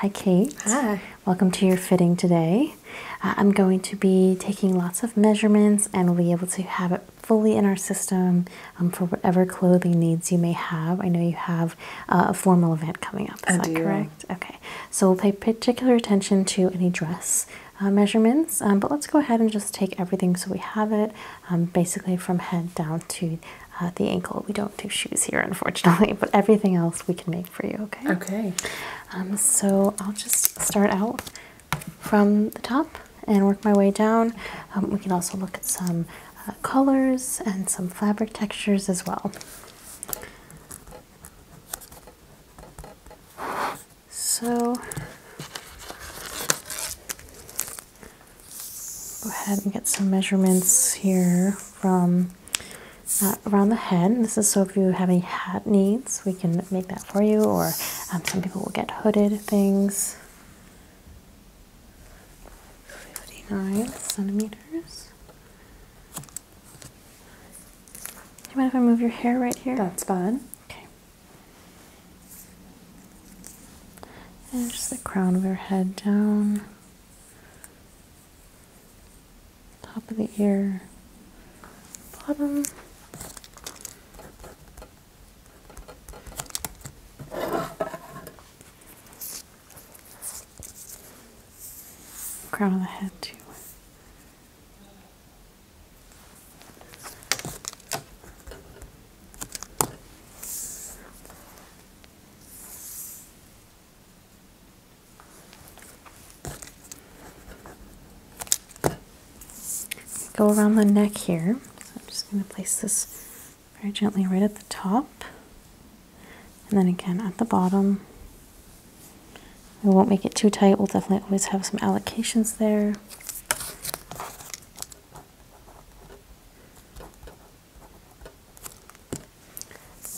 Hi, Kate. Hi. Welcome to your fitting today. Uh, I'm going to be taking lots of measurements and we'll be able to have it fully in our system um, for whatever clothing needs you may have. I know you have uh, a formal event coming up, is that correct? Okay. So we'll pay particular attention to any dress uh, measurements, um, but let's go ahead and just take everything so we have it um, basically from head down to uh, the ankle. We don't do shoes here, unfortunately, but everything else we can make for you, okay? Okay. Um, so I'll just start out from the top and work my way down. Um, we can also look at some uh, colors and some fabric textures as well. So Go ahead and get some measurements here from uh, around the head. this is so if you have any hat needs, we can make that for you, or um, some people will get hooded things. 59 centimeters. Do you mind if I move your hair right here? That's fine. Okay. And just the crown of your head down, top of the ear, bottom. Crown of the head, too. Go around the neck here. So I'm just going to place this very gently right at the top and then again at the bottom. We won't make it too tight, we'll definitely always have some allocations there.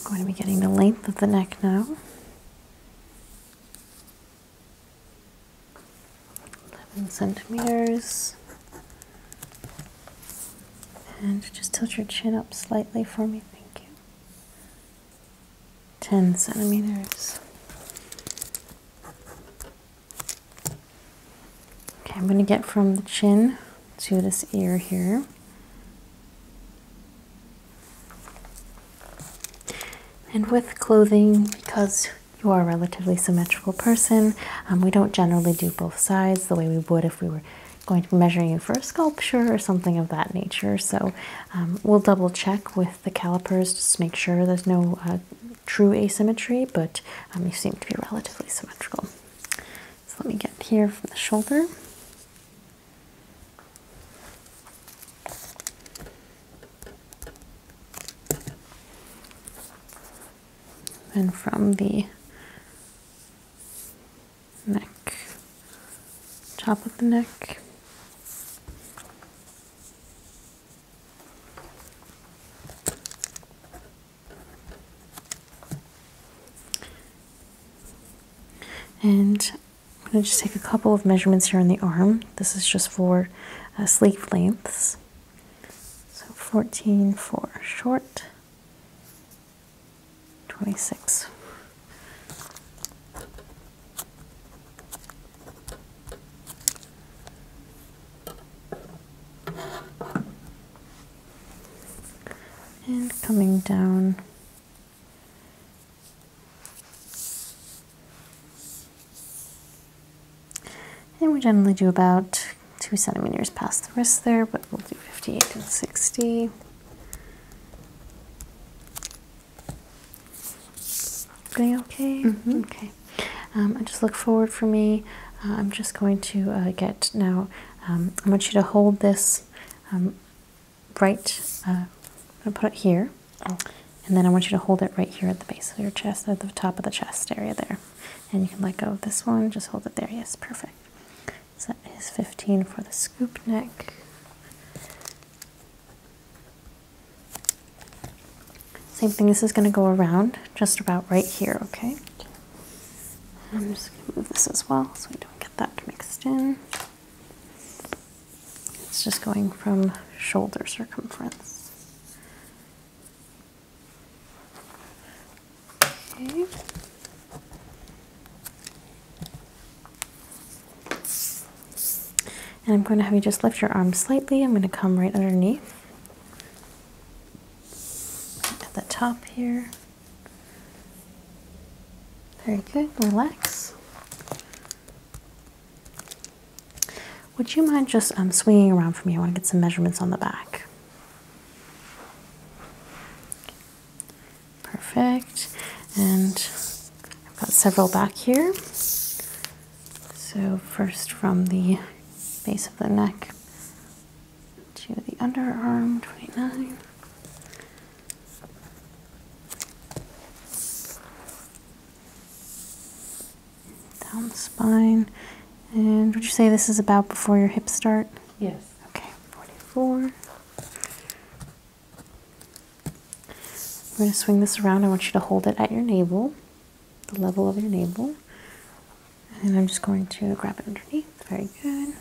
I'm going to be getting the length of the neck now. Eleven centimeters. And just tilt your chin up slightly for me, thank you. Ten centimeters. Okay, I'm going to get from the chin to this ear here. And with clothing, because you are a relatively symmetrical person, um, we don't generally do both sides the way we would if we were going to be measuring you for a sculpture or something of that nature. So um, we'll double check with the calipers just to make sure there's no uh, true asymmetry, but um, you seem to be relatively symmetrical. So let me get here from the shoulder. And from the neck, top of the neck, and I'm going to just take a couple of measurements here on the arm. This is just for uh, sleeve lengths. So 14 for short, 26 and coming down and we generally do about two centimeters past the wrist there but we'll do 58 and 60 Doing okay? Mm-hmm. Okay. Um, and just look forward for me. Uh, I'm just going to uh, get now. Um, I want you to hold this um, right. Uh, I'm going to put it here. Oh. And then I want you to hold it right here at the base of your chest, at the top of the chest area there. And you can let go of this one. Just hold it there. Yes, perfect. So that is 15 for the scoop neck. Same thing, this is going to go around just about right here, okay? I'm just going to move this as well so we don't get that mixed in. It's just going from shoulder circumference. Okay. And I'm going to have you just lift your arm slightly. I'm going to come right underneath at the top here. Very good. Relax. Would you mind just um, swinging around for me? I want to get some measurements on the back. Perfect. And I've got several back here. So first from the base of the neck to the underarm, 29. Down the spine. And would you say this is about before your hips start? Yes. Okay, 44. I'm going to swing this around. I want you to hold it at your navel, the level of your navel. And I'm just going to grab it underneath. Very good.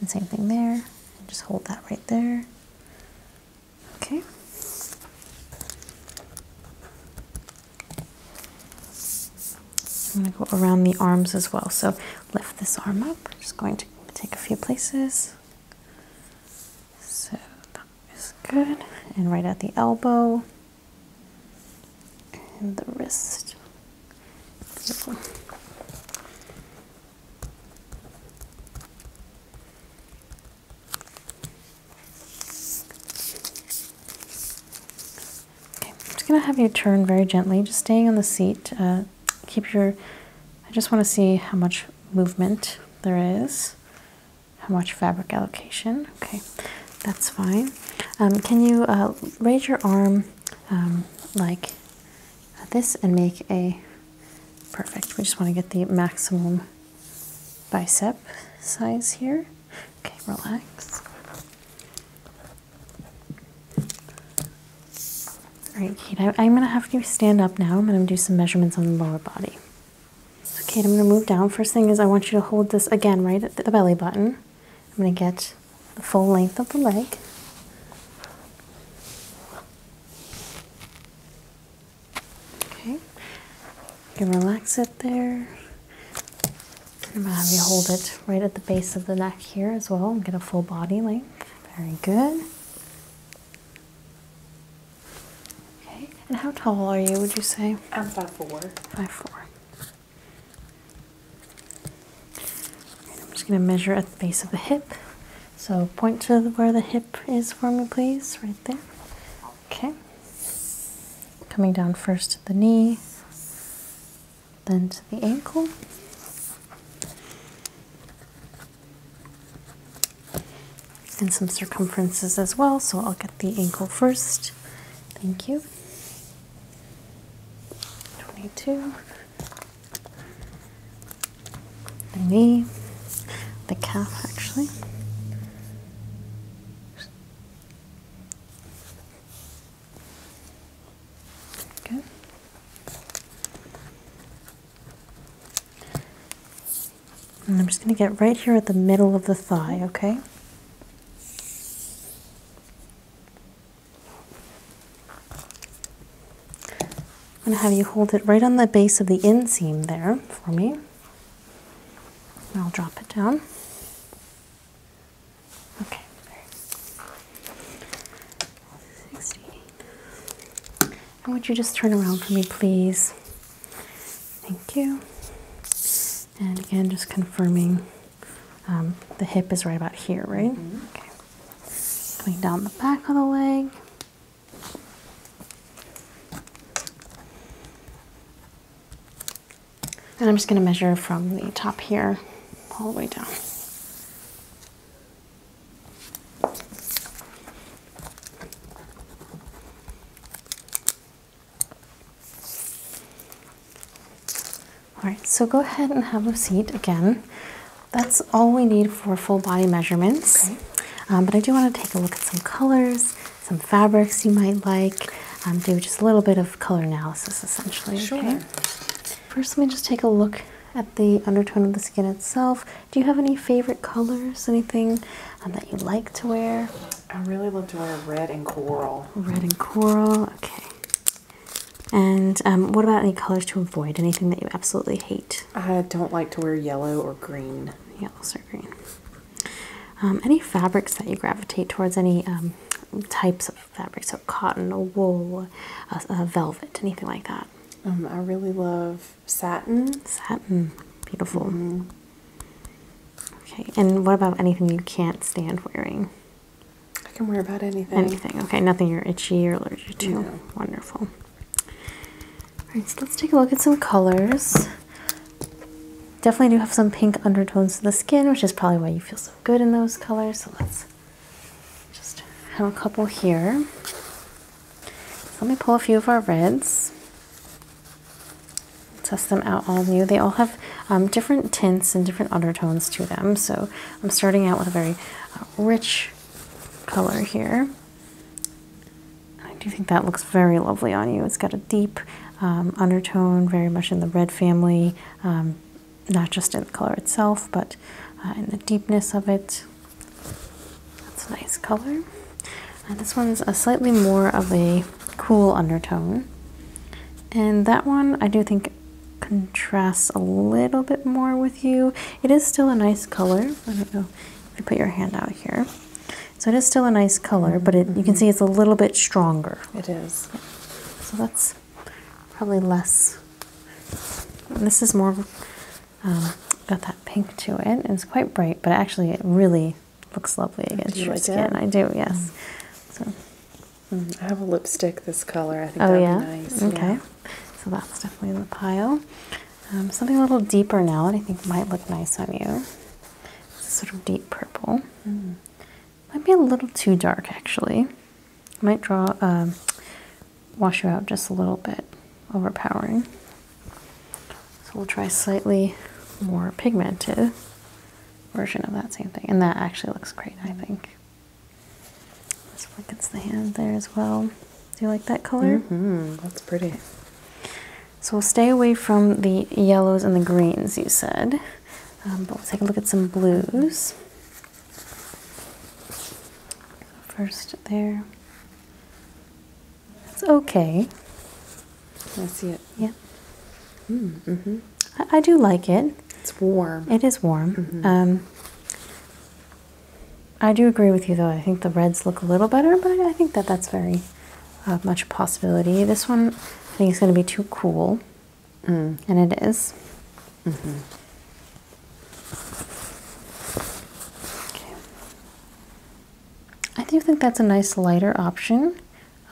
And same thing there. Just hold that right there. Okay. I'm going to go around the arms as well. So lift this arm up. just going to take a few places. So that is good. And right at the elbow and the wrist. Okay, just going to have you turn very gently, just staying on the seat. Uh, keep your, I just want to see how much movement there is, how much fabric allocation. Okay, that's fine. Um, can you uh, raise your arm um, like this and make a perfect? We just want to get the maximum bicep size here. Okay, relax. All right, Kate, I, am going to have you stand up now. I'm going to do some measurements on the lower body. Okay, I'm going to move down. First thing is I want you to hold this again right at the belly button. I'm going to get the full length of the leg. Okay. You relax it there. I'm going to have you hold it right at the base of the neck here as well and get a full body length. Very good. Okay, and how tall are you, would you say? I'm 5'4. 5'4. And I'm just going to measure at the base of the hip. So point to where the hip is for me, please, right there. Okay. Coming down first to the knee, then to the ankle and some circumferences as well. So I'll get the ankle first. Thank you. 22. The knee, the calf actually. And I'm just going to get right here at the middle of the thigh, okay? I'm going to have you hold it right on the base of the inseam there for me. I'll drop it down. Okay, 16. And would you just turn around for me, please? Thank you. And again, just confirming um, the hip is right about here, right? Mm Okay. Coming down the back of the leg. And I'm just going to measure from the top here all the way down. All right, so go ahead and have a seat again. That's all we need for full body measurements. Okay. Um, but I do want to take a look at some colors, some fabrics you might like, um, do just a little bit of color analysis essentially. Sure. First, let me just take a look at the undertone of the skin itself. Do you have any favorite colors? Anything uh, that you like to wear? I really love to wear red and coral. Red and coral, okay. And um, what about any colors to avoid? Anything that you absolutely hate? I don't like to wear yellow or green. Yellows or green. Um, any fabrics that you gravitate towards? Any um, types of fabric, so cotton or wool, uh, velvet, anything like that. Um, I really love satin. Satin, beautiful. Mm-hmm. Okay, and what about anything you can't stand wearing? I can wear about anything. Anything, okay, nothing you're itchy or allergic to. Wonderful. All right, so let's take a look at some colors. Definitely do have some pink undertones to the skin, which is probably why you feel so good in those colors. So let's just have a couple here. let me pull a few of our reds. Test them out on you. They all have um, different tints and different undertones to them. So I'm starting out with a very uh, rich color here. I do think that looks very lovely on you. It's got a deep um, undertone, very much in the red family, um, not just in the color itself, but uh, in the deepness of it. That's a nice color. Uh, this one's a slightly more of a cool undertone. And that one I do think contrasts a little bit more with you. It is still a nice color. I don't know if you put your hand out here. So it is still a nice color, but it, you can see it's a little bit stronger. It is. Yeah. So that's probably less. This is more um, got that pink to it. It's quite bright, but actually it really looks lovely against your skin. I do, yes. Mm. So. Mm, I have a lipstick this color. I think oh, that'd yeah? be nice. Okay. So that's definitely in the pile. Um, something a little deeper now that I think might look nice on you. sort of deep purple. Mm. Might be a little too dark actually. I might draw um, wash you out just a little bit, overpowering. So we'll try slightly more pigmented version of that same thing. And that actually looks great, I think. Just flickens the hand there as well. Do you like that color? Mm -hmm. That's pretty. So we'll stay away from the yellows and the greens you said. Um, but we'll take a look at some blues. First there. It's okay. I see it. Yeah. Mm, mm hmm mm-hmm. I, do like it. It's warm. It is warm. Mm-hmm. um, I do agree with you, though. I think the reds look a little better, but I think that that's very uh, much possibility. This one, I think, is going to be too cool. Mm, and it is? Mm -hmm. okay. I do think that's a nice lighter option,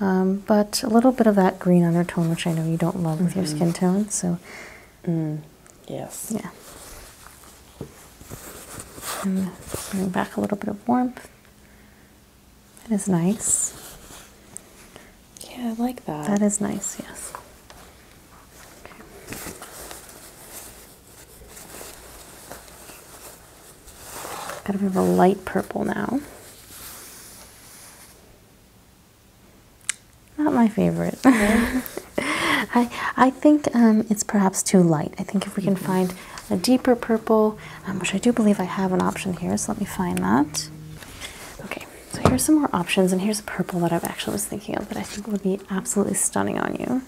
um, but a little bit of that green undertone, which I know you don't love with your mm-hmm. skin tone. So, mm, yes, yeah. And bring back a little bit of warmth. That is nice. Yeah, I like that. That is nice, yes. Okay. Got a bit of a light purple now. Not my favorite. I, I think um, it's perhaps too light. I think if we can mm-hmm. find a deeper purple, um, which I do believe I have an option here, so let me find that. Okay, so here's some more options, and here's a purple that I actually was thinking of that I think would be absolutely stunning on you.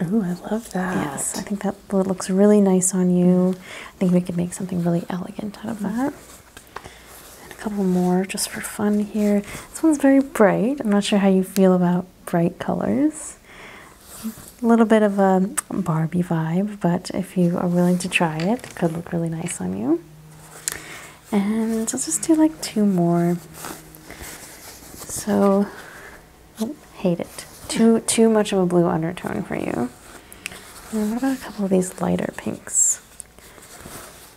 Oh, I love that. Yes, I think that looks really nice on you. I think we could make something really elegant out of mm-hmm. that. And a couple more just for fun here. This one's very bright. I'm not sure how you feel about bright colors. A little bit of a Barbie vibe, but if you are willing to try it, could look really nice on you. And I'll just do like two more. So, oh, hate it. Too too much of a blue undertone for you. what about a couple of these lighter pinks?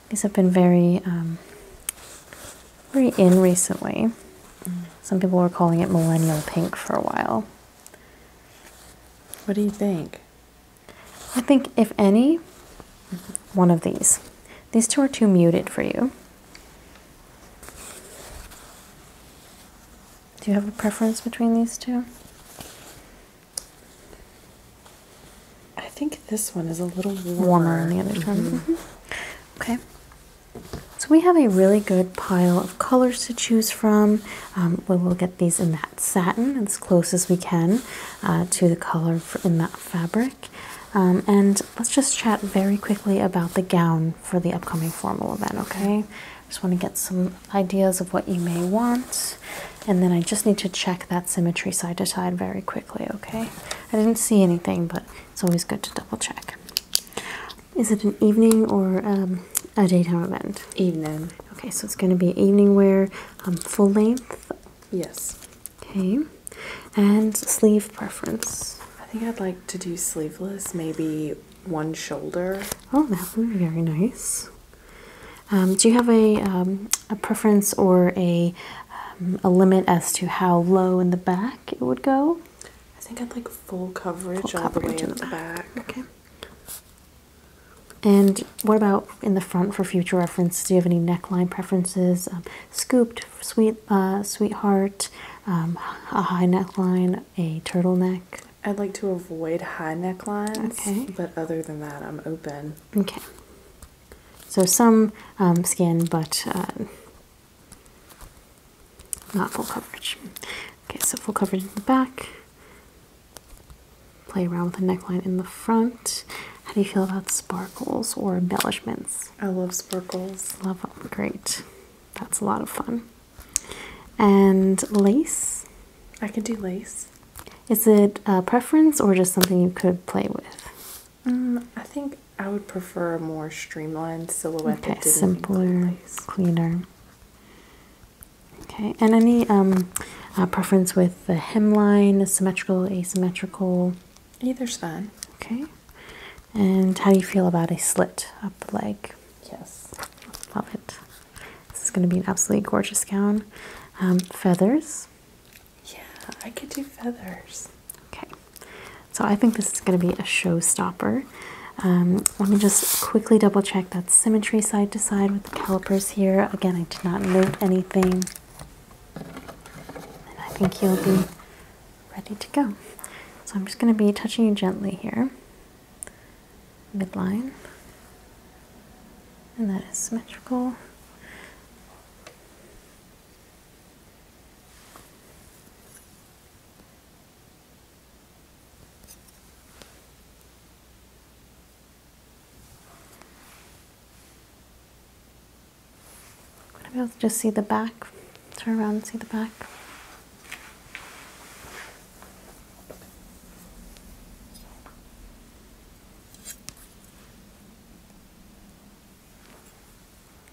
These have been very, um, very in recently. Some people were calling it millennial pink for a while. What do you think? I think, if any, one of these. These two are too muted for you. Do you have a preference between these two? I think this one is a little warmer. Warmer the other mm Okay. So we have a really good pile of colors to choose from. Um, we will get these in that satin as close as we can uh, to the color in that fabric. Um, and let's just chat very quickly about the gown for the upcoming formal event, okay? Just want to get some ideas of what you may want, and then I just need to check that symmetry side to side very quickly, okay? I didn't see anything, but it's always good to double check. Is it an evening or um, a daytime event? Evening. Okay, so it's going to be evening wear, um, full length. Yes. Okay, and sleeve preference. I think I'd like to do sleeveless, maybe one shoulder. Oh, that would be very nice. Um, do you have a um, a preference or a um, a limit as to how low in the back it would go? I think I'd like full coverage all the way in the back. Okay. And what about in the front for future reference? Do you have any neckline preferences? Um, scooped, sweet, uh, sweetheart, um, a high neckline, a turtleneck. I'd like to avoid high necklines, but other than that, I'm open. Okay. So some um, skin, but uh, not full coverage. Okay, so full coverage in the back. Play around with the neckline in the front. How do you feel about sparkles or embellishments? I love sparkles. Love them. Great. That's a lot of fun. And lace? I could do lace. Is it a preference or just something you could play with? Um, I think I would prefer a more streamlined silhouette. Okay, simpler, cleaner. Okay, and any um, uh, preference with the hemline, symmetrical, asymmetrical? Either's fine. Okay, and how do you feel about a slit up the leg? Yes. Love it. This is going to be an absolutely gorgeous gown. Um, feathers? Yeah, I could do feathers. Okay. So I think this is going to be a showstopper. Um, let me just quickly double check that symmetry side to side with the calipers here. Again, I did not note anything. And I think you'll be ready to go. So I'm just going to be touching you gently here, midline. And that is symmetrical. I'm going to be able to just see the back, turn around and see the back.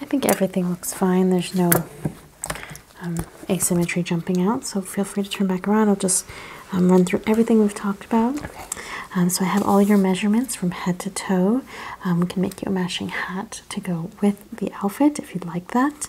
I think everything looks fine. There's no um, asymmetry jumping out, so feel free to turn back around. I'll just um, run through everything we've talked about. Um, so I have all your measurements from head to toe. we can make you a matching hat to go with the outfit if you'd like that.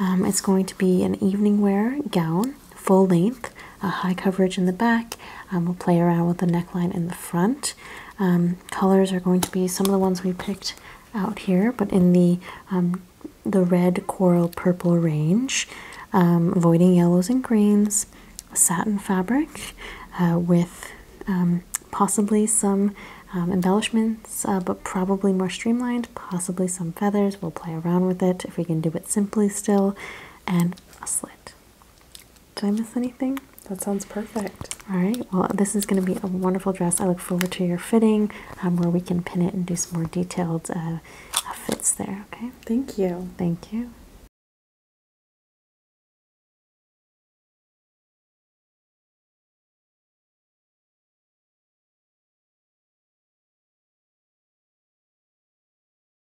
it's going to be an evening wear gown, full length, a high coverage in the back. Um, we'll play around with the neckline in the front. Um, colors are going to be some of the ones we picked out here, but in the um, the red coral purple range, um, avoiding yellows and greens, satin fabric uh, with possibly some embellishments, uh, but probably more streamlined, possibly some feathers. We'll play around with it if we can do it simply still, and a slit. Did I miss anything? That sounds perfect. All right. Well, this is going to be a wonderful dress. I look forward to your fitting um, where we can pin it and do some more detailed uh, uh fits there. Okay. Thank you. Thank you.